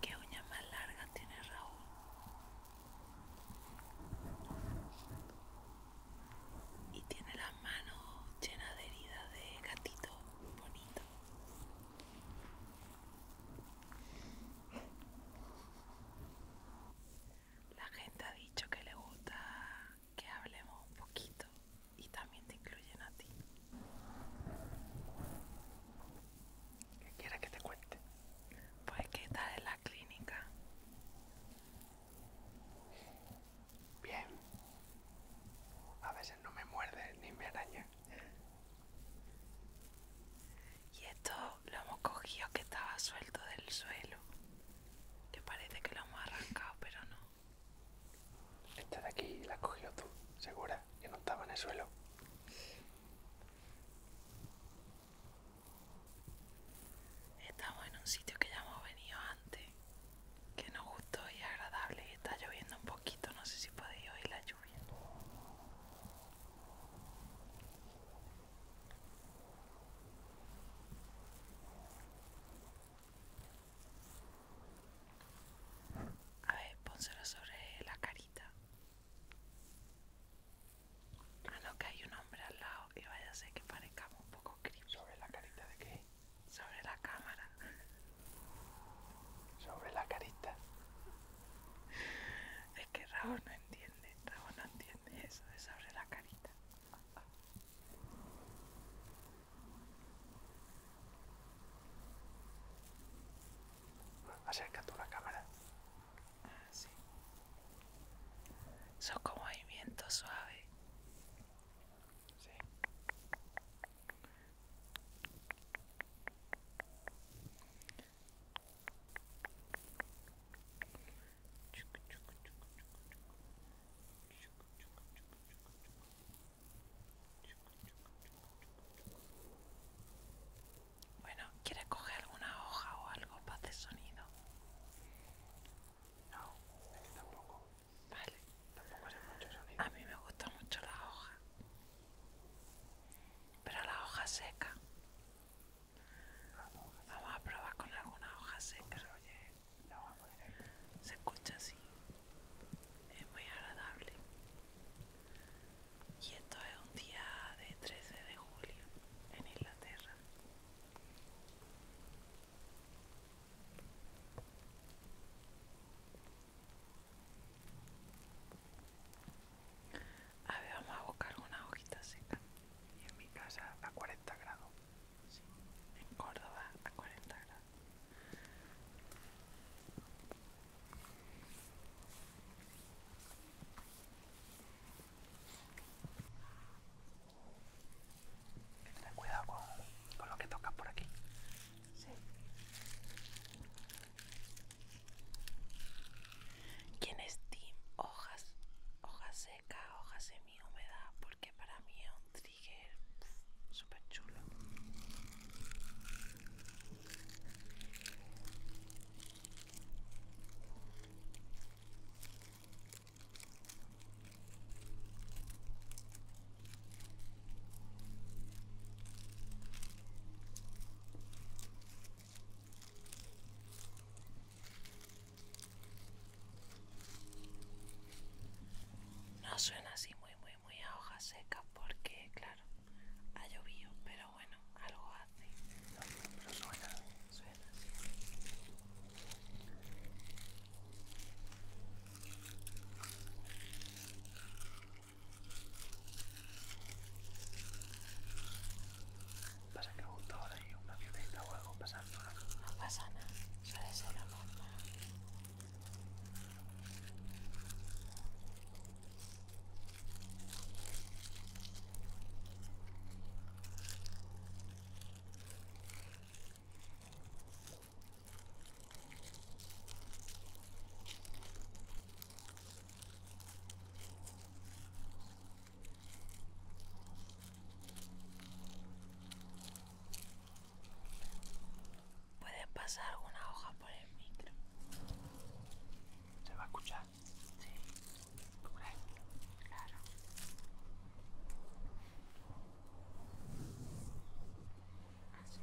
¿Qué uña más larga tiene Raúl? y tiene las manos llenas de heridas de gatitos bonito. La gente ha dicho que le gusta que hablemos un poquito y también te incluyen a ti. ¿Qué quieres que te cuente? Pues que estás en la clínica Bien. A veces no me muerde ni me araña. Y esto lo hemos cogido que estaba suelto del suelo. te parece que lo hemos arrancado, pero no. Esta de aquí la has cogido tú, segura, que no estaba en el suelo. Estamos en un sitio que ya hemos venido antes, que nos gustó y agradable. Está lloviendo un poquito, no sé si podéis oír la lluvia. A ver, pónselo sobre la carita. Ah, que hay un hombre al lado y vaya a ser que parezcamos un poco sobre la carita de qué? Sobre la cámara. Sobre la carita. Es que Raúl no entiende, Raúl no entiende eso de sobre la carita. Acerca tú la cámara. Ah. Son como movimientos Bueno, ¿quieres coger alguna hoja o algo para hacer sonido? No. Vale. A mí me gusta mucho la hoja. Pero la hoja seca. Vamos a probar con alguna hoja seca. oye, Se escucha así. Es muy agradable. Y esto es un día de 13 de julio en Inglaterra. A ver, vamos a buscar una hojita seca. Y en mi casa a 40 grados. Sí, en Córdoba a 40 grados. Hay que cuidado con, lo que tocas por aquí. Sí. ¿Quién es Hojas, hojas secas, hojas semi-húmedas, porque para mí es un trigger súper chulo. No suena así muy muy muy a hoja secas porque claro, ha llovido, pero pero bueno, algo hace. No, pero suena. Suena, sí. Pasa que justo ahora hay una violeta o algo pasando. No pasa nada, suele ser normal. Puede pasar una hoja por el micro. Se va a escuchar. Sí, por aquí, claro. Así.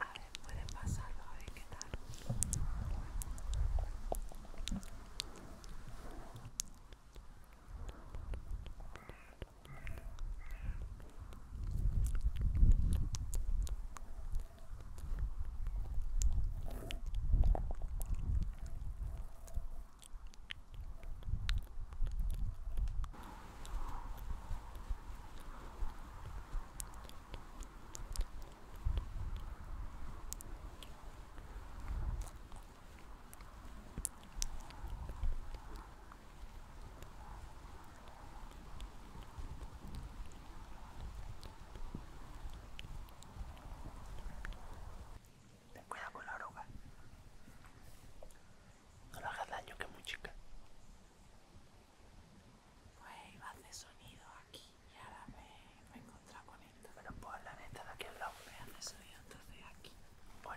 A ver, puede pasarlo, a ver qué tal te cuidado con la oruga. No le hagas daño que muy chica. Pues iba a hacer sonido aquí y ahora me, me he encontrado con esto. Bueno, por la neta de aquí al lado me hace sonido, entonces aquí, pon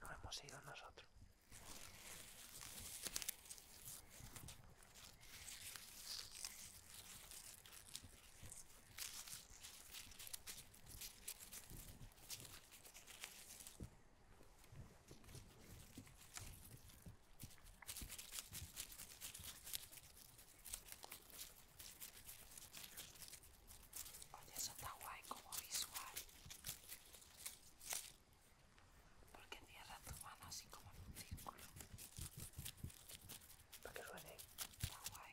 No hemos ido nosotros. Oye, eso está guay como visual. Porque cierra tu mano así como en un círculo. Para que Está guay.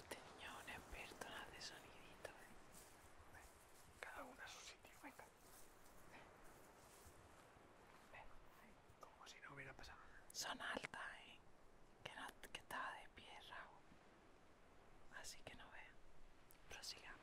Este niño es un experto en ¿eh? Cada uno a su sitio, venga. Como si no hubiera pasado nada. Son altas, ¿eh? Que, no, estaba de pie, Así que no vean. Prosigamos.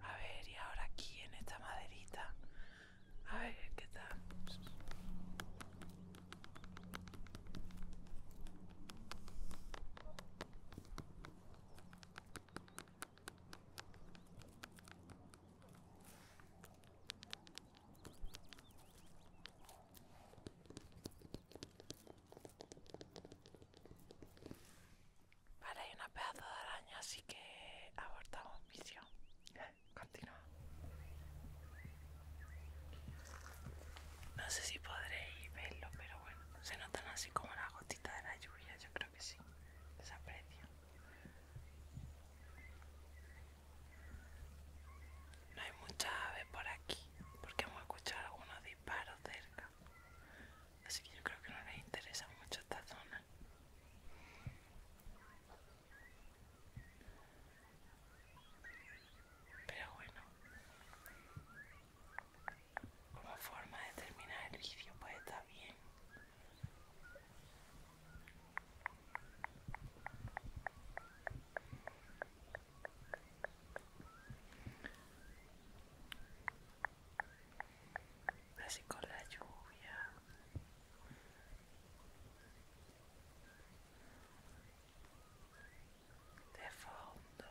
A ver, y ahora aquí en esta maderita. A ver, ¿qué tal? Vale, hay una pedazo de araña, así que abortamos misión. Continúa. No sé si podréis verlo, pero bueno, se notan así como las gotitas de la lluvia, yo creo que sí. Desaprecio. No hay muchas aves por aquí, porque hemos escuchado algunos disparos cerca. Así que yo creo que no les interesa mucho esta zona. Pero bueno, como forma de terminar el vídeo, puede estar bien así con la lluvia de fondo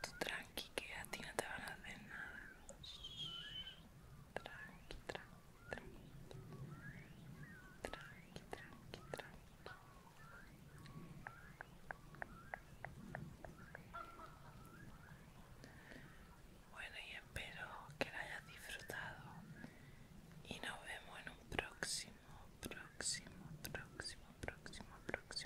Tú tranqui que a ti no te van a hacer nada. Tranqui, tranqui, tranqui. Tranqui, tranqui, tranqui. Bueno, y espero que lo hayas disfrutado. Y nos vemos en un próximo, próximo, próximo, próximo, próximo